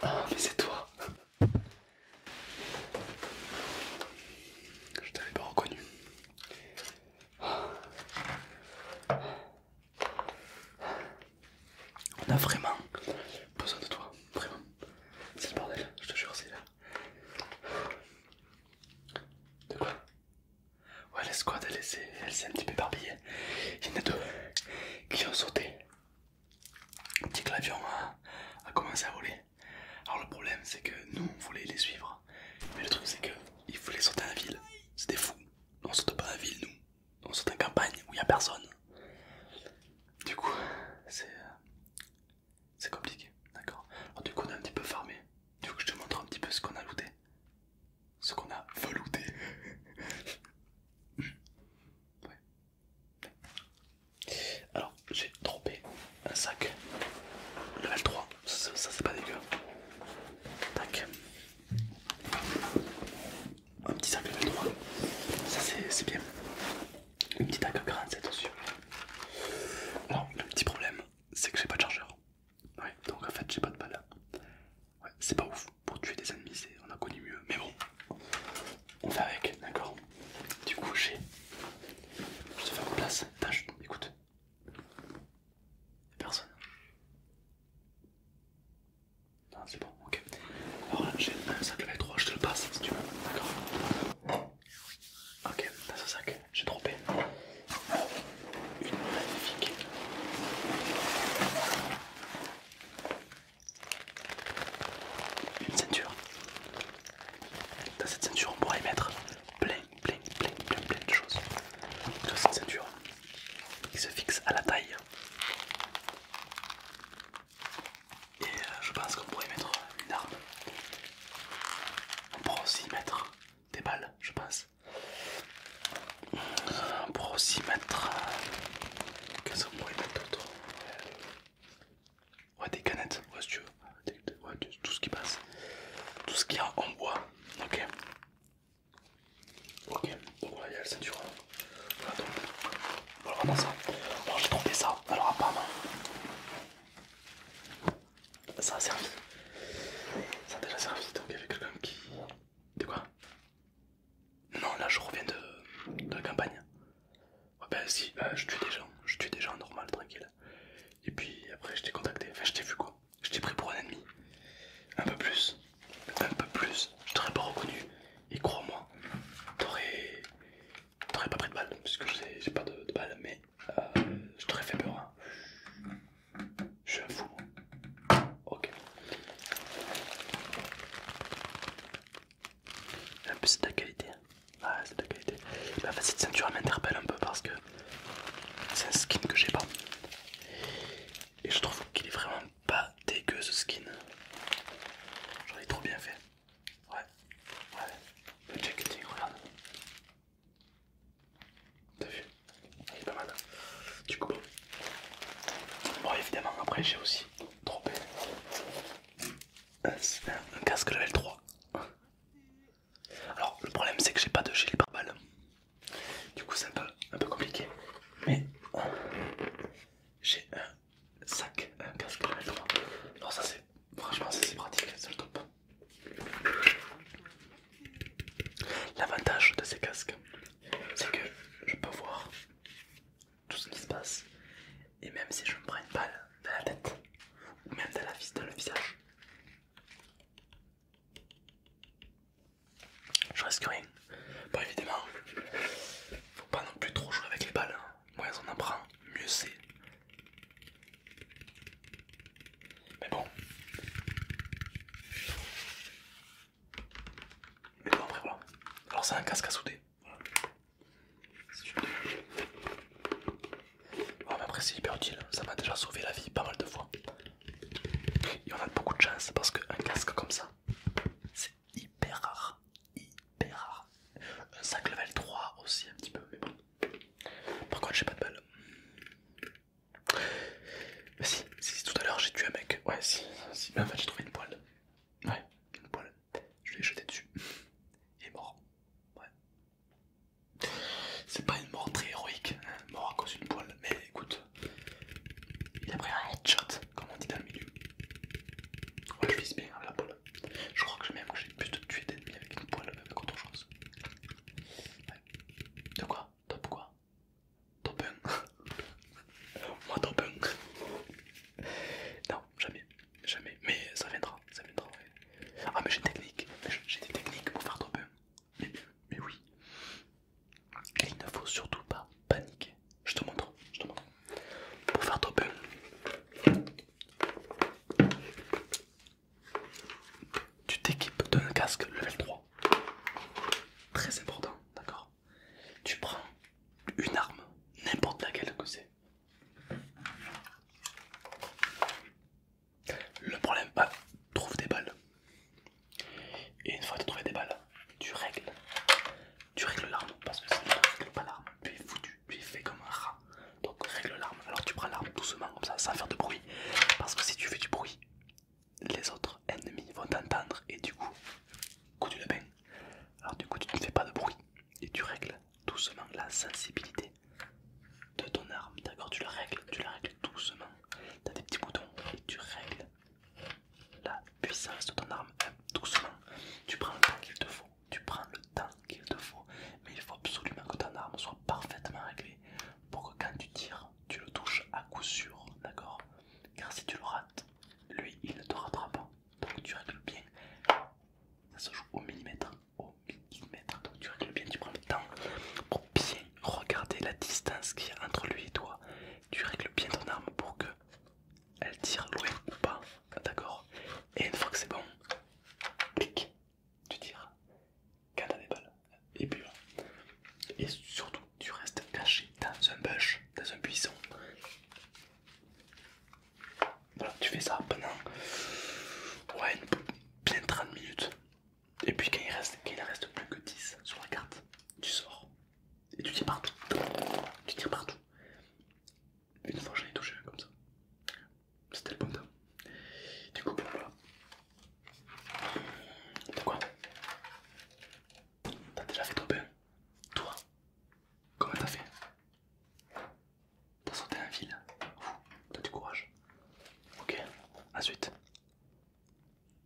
Ah, mais c'est toi! Je t'avais pas reconnu. On a vraiment besoin de toi, vraiment. C'est le bordel, je te jure, c'est là. De quoi Ouais, la squad elle s'est un petit peu éparpillée. Il y en a deux qui ont sauté. Un petit clavier a, commencé à voler. Alors, le problème c'est que nous on voulait les suivre, mais le truc c'est que ils voulaient sauter en ville. C'était fou. On saute pas en ville, nous. On saute en campagne où il n'y a personne. Du coup, c'est c'est compliqué, d'accord du coup on a un petit peu farmé. Tu veux que je te montre un petit peu ce qu'on a looté Ce qu'on a velouté ouais. Alors j'ai trompé un sac level 3, ça, ça c'est pas dégueu. Tac. Un petit sac level 3, ça c'est bien une petite AK47 dessus. Alors, le petit problème, c'est que j'ai pas de chargeur. Ouais, donc en fait, j'ai pas de balle. Ouais, c'est pas ouf pour tuer des ennemis, on a connu mieux, mais bon, on fait avec, d'accord Du coup, j'ai. Je te fais une place, tâche, écoute. Personne. Non, c'est bon, ok. Alors là, j'ai un sac de 3, je te le passe si tu veux, d'accord Ok, dans ce sac, j'ai trompé. Une magnifique. Une ceinture. Dans cette ceinture, on pourrait y mettre plein, plein, plein, plein, plein de choses. Dans cette ceinture qui se fixe à la taille et euh, je pense qu'on pourrait mettre une arme. On pourrait aussi mettre des balles, je pense. Euh, on pourrait aussi mettre. Euh, qu'est-ce qu'on pourrait mettre d'autre Ouais, des canettes, ouais, si tu veux. Ouais, tout ce qui passe. Tout ce qu'il y a en bois. Ok. Ok, donc voilà, il y a le ceinture Voilà, donc, voilà, dans ça. Alors, j'ai trouvé ça. Alors, apparemment, ça a servi. Ça a déjà servi. Donc il y avait quelqu'un qui. De quoi Non, là je reviens de, la campagne. Ouais, ben si, ben, je tue des gens. Je tue des gens normal, tranquille. Et puis après je t'ai contacté. Enfin, je t'ai vu quoi. Je t'ai pris pour un ennemi. Un peu plus. Un peu plus. Je t'aurais pas reconnu. Et crois-moi, t'aurais t'aurais pas pris de balle, puisque j'ai pas de, balles, mais euh, je t'aurais fait peur. Hein. Je suis un fou. Ok. En ah, plus c'est de la qualité. Hein. Ah, c'est de la qualité. ceinture m'interpelle un peu parce que c'est un skin que j'ai pas. Et je trouve qu'il est vraiment pas dégueu ce skin. J'aurais trop bien fait. Ouais, ouais, le jacketing, regarde. T'as vu Il est pas mal. Du coup, bon, évidemment, après j'ai aussi droppé un, casque level 3. Alors, le problème c'est que j'ai pas de gilet par balles Du coup, c'est un peu, un peu compliqué. Mais j'ai un sac, un casque Non, ça c'est franchement c'est pratique, c'est le top. L'avantage de ces casques, c'est que je peux voir tout ce qui se passe et même si je me prends une balle dans la tête ou même dans, la vis, dans le visage, je risque rien. Bon, évidemment, faut pas non plus trop jouer avec les balles. Hein moins on en mieux c'est. Mais bon. Mais bon, après voilà. Alors, c'est un casque à souder. Bon oh, mais après, c'est hyper utile. Ça m'a déjà sauvé la vie pas mal de fois. Et on a beaucoup de chance parce qu'un casque comme ça, c'est hyper rare hyper rare. Un sac level 3 aussi, un petit peu, mais bon. Par contre, j'ai pas de balle. si, si, tout à l'heure j'ai tué un mec. Ouais, si, si, en fait, j'ai trouvé une poêle. Ouais, une poêle. Je l'ai jeté dessus. et mort. Ouais. C'est pas une mort très héroïque, hein. mort à cause d'une poêle, mais écoute. Il a pris un headshot, comme on dit dans le milieu. Ouais, je vise bien la poêle. Je crois que même que j'ai plus de tuer d'ennemis avec une poêle même qu'autre chose. De quoi Top quoi Top 1 Moi top 1 Non, jamais, jamais, mais ça viendra, ça viendra. Ah mais j'ai technique, j'ai des techniques pour faire top 1. mais oui. Et il ne faut surtout pas paniquer. Je te montre, je te montre. Pour faire ton Tu t'équipes d'un casque level 3. Très important, d'accord Tu prends une arme, n'importe laquelle que c'est. Le problème, pas, ah, trouve des balles. Et une fois que tu as trouvé des balles, tu règles. Tu règles l'arme parce que si tu ne règles pas l'arme, tu es foutu, tu es fait comme un rat. Donc règle l'arme. Alors tu prends l'arme doucement comme ça, sans faire de bruit. Parce que si tu fais du bruit, les autres ennemis vont t'entendre et du coup, coup tu le Alors du coup tu ne fais pas de bruit et tu règles doucement la sensibilité de ton arme. D'accord, tu la règles, tu la règles doucement. as des petits boutons et tu règles la puissance de ton arme hein, doucement. Tu prends le temps qu'il te faut, tu prends le temps qu'il te faut, mais il faut absolument que ton arme soit parfaitement réglée pour que quand tu tires, tu le touches à coup sûr, d'accord Car si tu le rates, lui il ne te rattrapera. pas. Donc tu règles bien, ça se joue au millimètre, au millimètre. Donc tu règles bien, tu prends le temps pour bien regarder la distance qu'il y a entre lui et toi. Tu règles bien ton arme pour que elle tire loin ou pas, d'accord Et une fois que c'est bon, clic, tu tires quand t'as des balles, et puis Et surtout, tu restes caché dans un bush, dans un buisson. Voilà, tu fais ça pendant ouais, bien 30 minutes. Et puis quand il, reste, quand il reste plus que 10 sur la carte, tu sors. Et tu tires partout. Tu tires partout. Une fois j'en ai touché un comme ça. C'était le bon temps. Du coup, voilà. T'as euh, quoi T'as déjà fait ton pain Toi Comment t'as fait T'as sauté un fil T'as du courage. Ok, ensuite.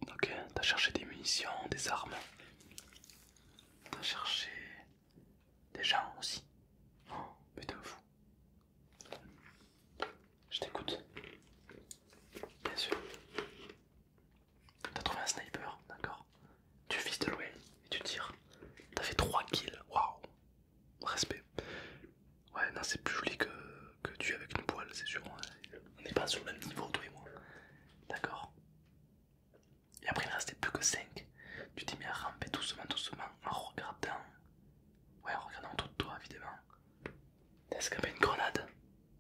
Ok, t'as cherché des munitions, des armes. T'as cherché des gens aussi. Oh, un fou. Je t'écoute. Bien sûr. T'as trouvé un sniper, d'accord. Tu vises de loin et tu tires. T'as fait 3 kills, waouh. Respect. Ouais, non, c'est plus joli que, que tu avec une poêle, c'est sûr. Hein. On n'est pas sur le même niveau, toi et moi. D'accord. Et après, il ne restait plus que 5. Tu t'es mis à ramper doucement, doucement, en regardant. Ouais, en regardant autour de toi, évidemment. T'as escapé une grenade.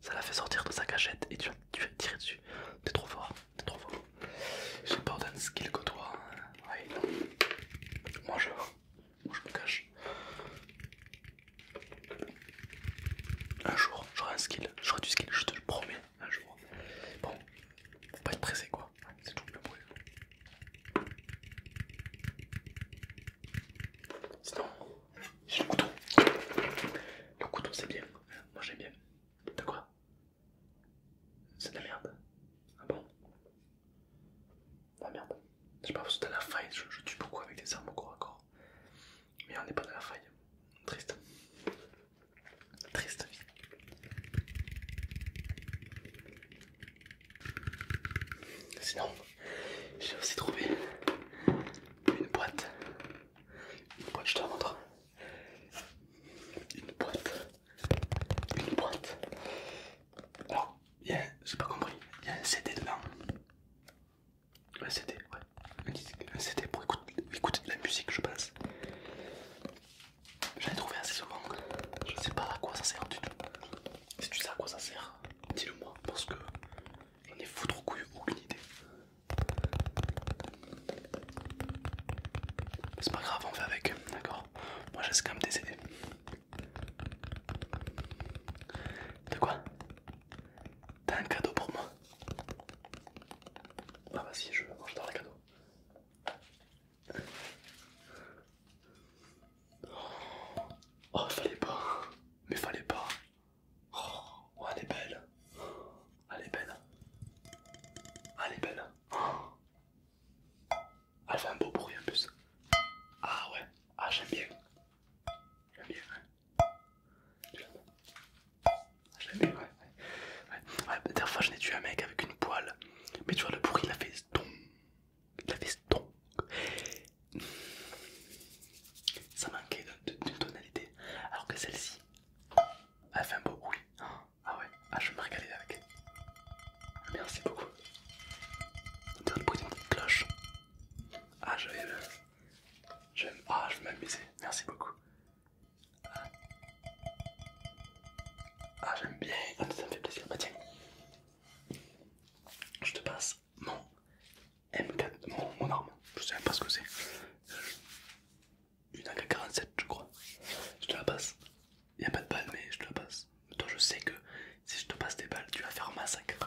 Ça l'a fait sortir de sa cachette et tu vas tu tiré dessus. T'es trop fort, t'es trop fort. J'ai pas autant de skill que toi. Hein. Moi, je, moi, je me cache. Un jour, j'aurai un skill, j'aurai du skill, je te le promets, un jour. Bon, faut pas être pressé quoi, c'est tout le bruit. Sinon, j'ai le couteau. Le couteau c'est bien, moi j'aime bien. De quoi C'est de la merde. Ah bon La ah, merde. Je sais pas, parce que t'as la faille, je tue beaucoup avec des armes au corps à corps mais on n'est pas dans la faille. Triste. Triste vie. Sinon, j'ai aussi trouvé une boîte. Une boîte, je te la montre. Une boîte. Une boîte. je j'ai pas compris. Il y a un CD dedans. Un ah, CD, ouais. Un CD pour écouter, de la musique, je pense. J'en ai trouvé assez souvent. Je sais pas à quoi ça sert du tout. Si tu sais à quoi ça sert, dis-le moi, parce que j'en ai foutre couille aucune idée. C'est pas grave, on fait avec, d'accord Moi j'ai quand même des CD. De quoi T'as un cadeau pour moi Ah bah si, je mange dans le cadeaux. Oh, oh, fallait pas, mais fallait pas. Oh, elle est belle. Elle est belle. Elle est belle. Elle fait un beau bruit en plus. Ah ouais, ah j'aime bien. J'aime bien, ouais. ah bien, ouais. Ouais, ouais la dernière fois je n'ai tué un mec avec une poêle. Mais tu vois, le bruit, il a fait stonk. Il a fait stonk. Ça manquait d'une tonalité. Alors que celle-ci, elle fait un beau bruit. Ah ouais, ah, je vais me régaler avec. Merci beaucoup. On dirait le bruit d'une cloche. Ah, je vais ah, je vais m'amuser, Merci beaucoup. Ah, ah j'aime bien. Ah, ça me fait plaisir. Bah tiens. Je te passe mon M4, mon, arme. Je sais même pas ce que c'est. Euh, une AK-47 je crois. Je te la passe. Il n'y a pas de balles mais je te la passe. toi je sais que si je te passe des balles, tu vas faire massacre.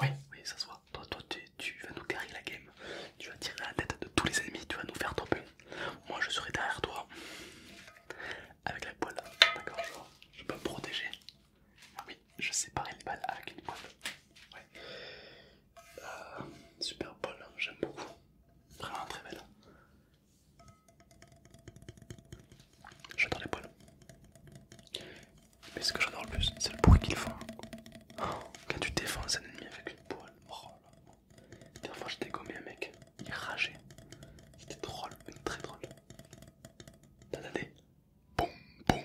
Oui, oui, ça se voit. Toi, toi tu, vas nous carrer la game. Tu vas tirer la tête de tous les ennemis, tu vas nous faire tomber. Moi, je serai derrière toi. Avec la poêle, d'accord je, peux me protéger. Ah oui, je séparerai les balles avec une poêle. Euh, super poêle, j'aime beaucoup. Vraiment très belle. J'adore les poils. Mais ce que j'adore le plus, c'est le bruit qu'ils font. Oh, quand tu défends un ennemi avec une poêle, oh là La dernière fois, j'ai dégommé un mec, il rageait. C'était drôle, très drôle. des Boum, boum.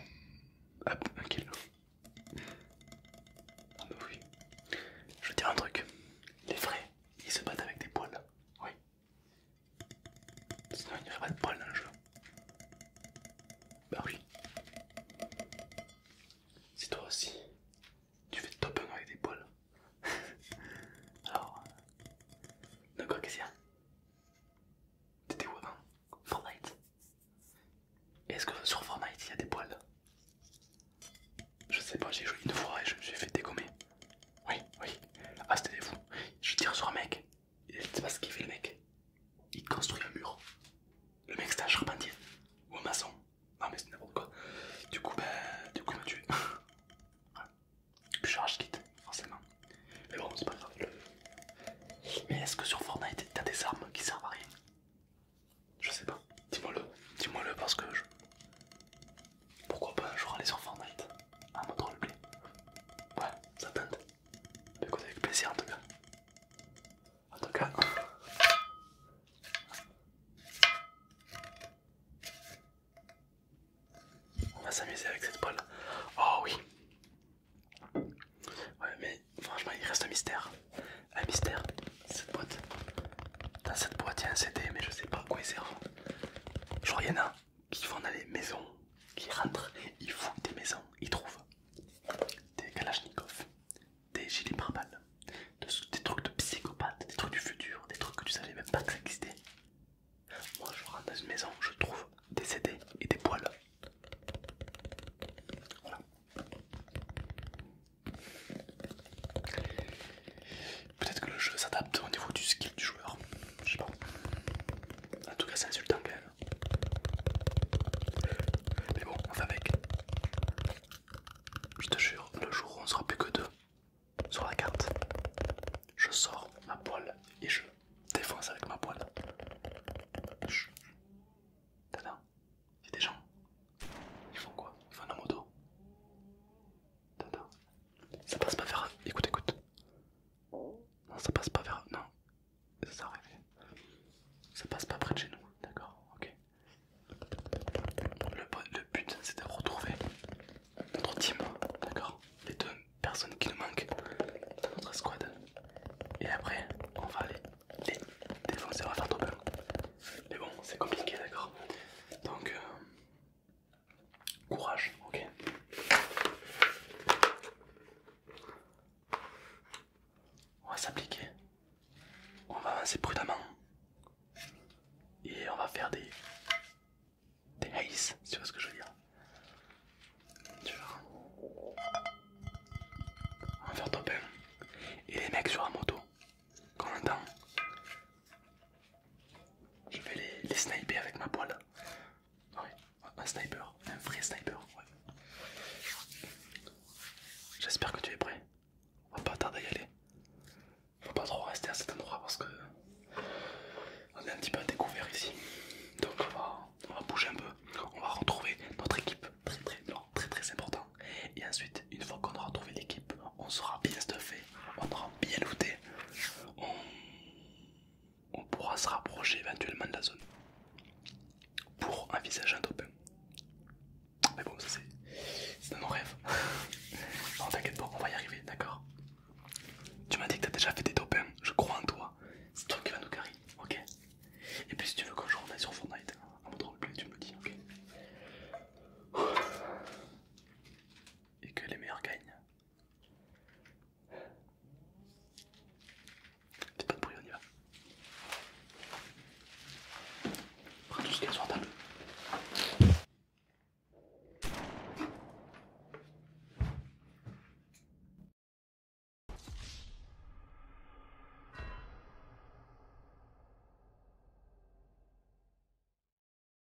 Hop, un kill. Ah bah oui. Je veux dire un truc. Les vrais, ils se battent avec des poêles, Oui. Sinon il n'y aurait pas de poils dans le jeu. Bah oui. Si toi aussi tu fais top 1 avec des poils. Alors... Euh, d'accord, qu'est-ce qu'il y a T'étais où avant Fortnite Est-ce que sur Fortnite il y a des poils Je sais pas, j'ai joué une fois et je me suis fait dégommer. Oui, oui. Ah c'était des fous. Je tire sur un mec, je sais pas ce qu'il fait le mec. Il construit un mur. Le mec, c'était un charpentier ou un maçon. Non, mais c'est n'importe quoi. Du coup, ben, du coup, il m'a tué. voilà. Puis je quitte, forcément. Mais bon, c'est pas grave. Mais est-ce que sur Fortnite, t'as des armes qui servent à rien Je sais pas. Dis-moi-le. Dis-moi-le parce que je. Pourquoi pas un jour aller sur Fortnite En mode roleplay. Ouais, ça tente. Écoutez avec plaisir en tout cas. En tout cas. On va s'amuser avec cette poêle. Oh oui. Ouais mais franchement il reste un mystère. Un mystère, cette boîte. Dans cette boîte il y a un CD mais je sais pas à quoi il sert. Je vois rien en qui vont dans les maisons, qui rentrent, ils font des maisons, ils trouvent des kalachnikovs, des gilets Brabales, des trucs de psychopathes, des trucs du futur, des trucs que tu savais même pas que Moi je rentre dans une maison, je trouve des CD et des poils. Voilà. Peut-être que le jeu s'adapte au niveau du skill du joueur je sais pas. En tout cas, c'est insultant quand même. Mais bon, on fait avec. je te jure, le jour où on sera plus que deux sur la carte, je sors ma poêle et je défonce avec ma poêle. Chut. T'as il y a des gens. Ils font quoi Ils font un moto. Tata. Ça passe pas faire. Écoute, écoute. Non, ça passe pas vers. Non, ça arrêté Ça passe pas près de chez nous, d'accord Ok. Le, but, c'est de retrouver notre team, d'accord Les deux personnes qui nous manquent dans notre squad. Et après, on va aller les défoncer, on va faire trop bien. Mais bon, c'est compliqué, d'accord Donc, euh, Courage, ok. On va s'appliquer. On va avancer prudemment. Et on va faire des... Des haze, tu vois ce que je veux dire. Tu vois. On va faire top 1. Et les mecs sur la moto, qu'on entend, je vais les, sniper avec ma poêle. Ah un sniper, un vrai sniper. J'espère que tu es prêt. On va pas tarder à y aller. on va pas trop rester à cet endroit parce que on est un petit peu à découvert ici. Donc on va, bouger un peu. On va retrouver notre équipe. Très très important. Et ensuite, une fois qu'on aura retrouvé l'équipe, on sera bien stuffé, on aura bien looté on pourra se rapprocher éventuellement de la zone pour envisager un top 1. Mais bon, ça c'est dans nos rêves. non, t'inquiète pas, on va y arriver, d'accord Tu m'as dit que t'as déjà fait des top je crois en toi. C'est toi qui vas nous carry, ok Et puis si tu veux que on aille sur Fortnite, en mode plus tu me dis, ok Et que les meilleurs gagnent, c'est pas de bruit, on y va. On qu'il y a sur table.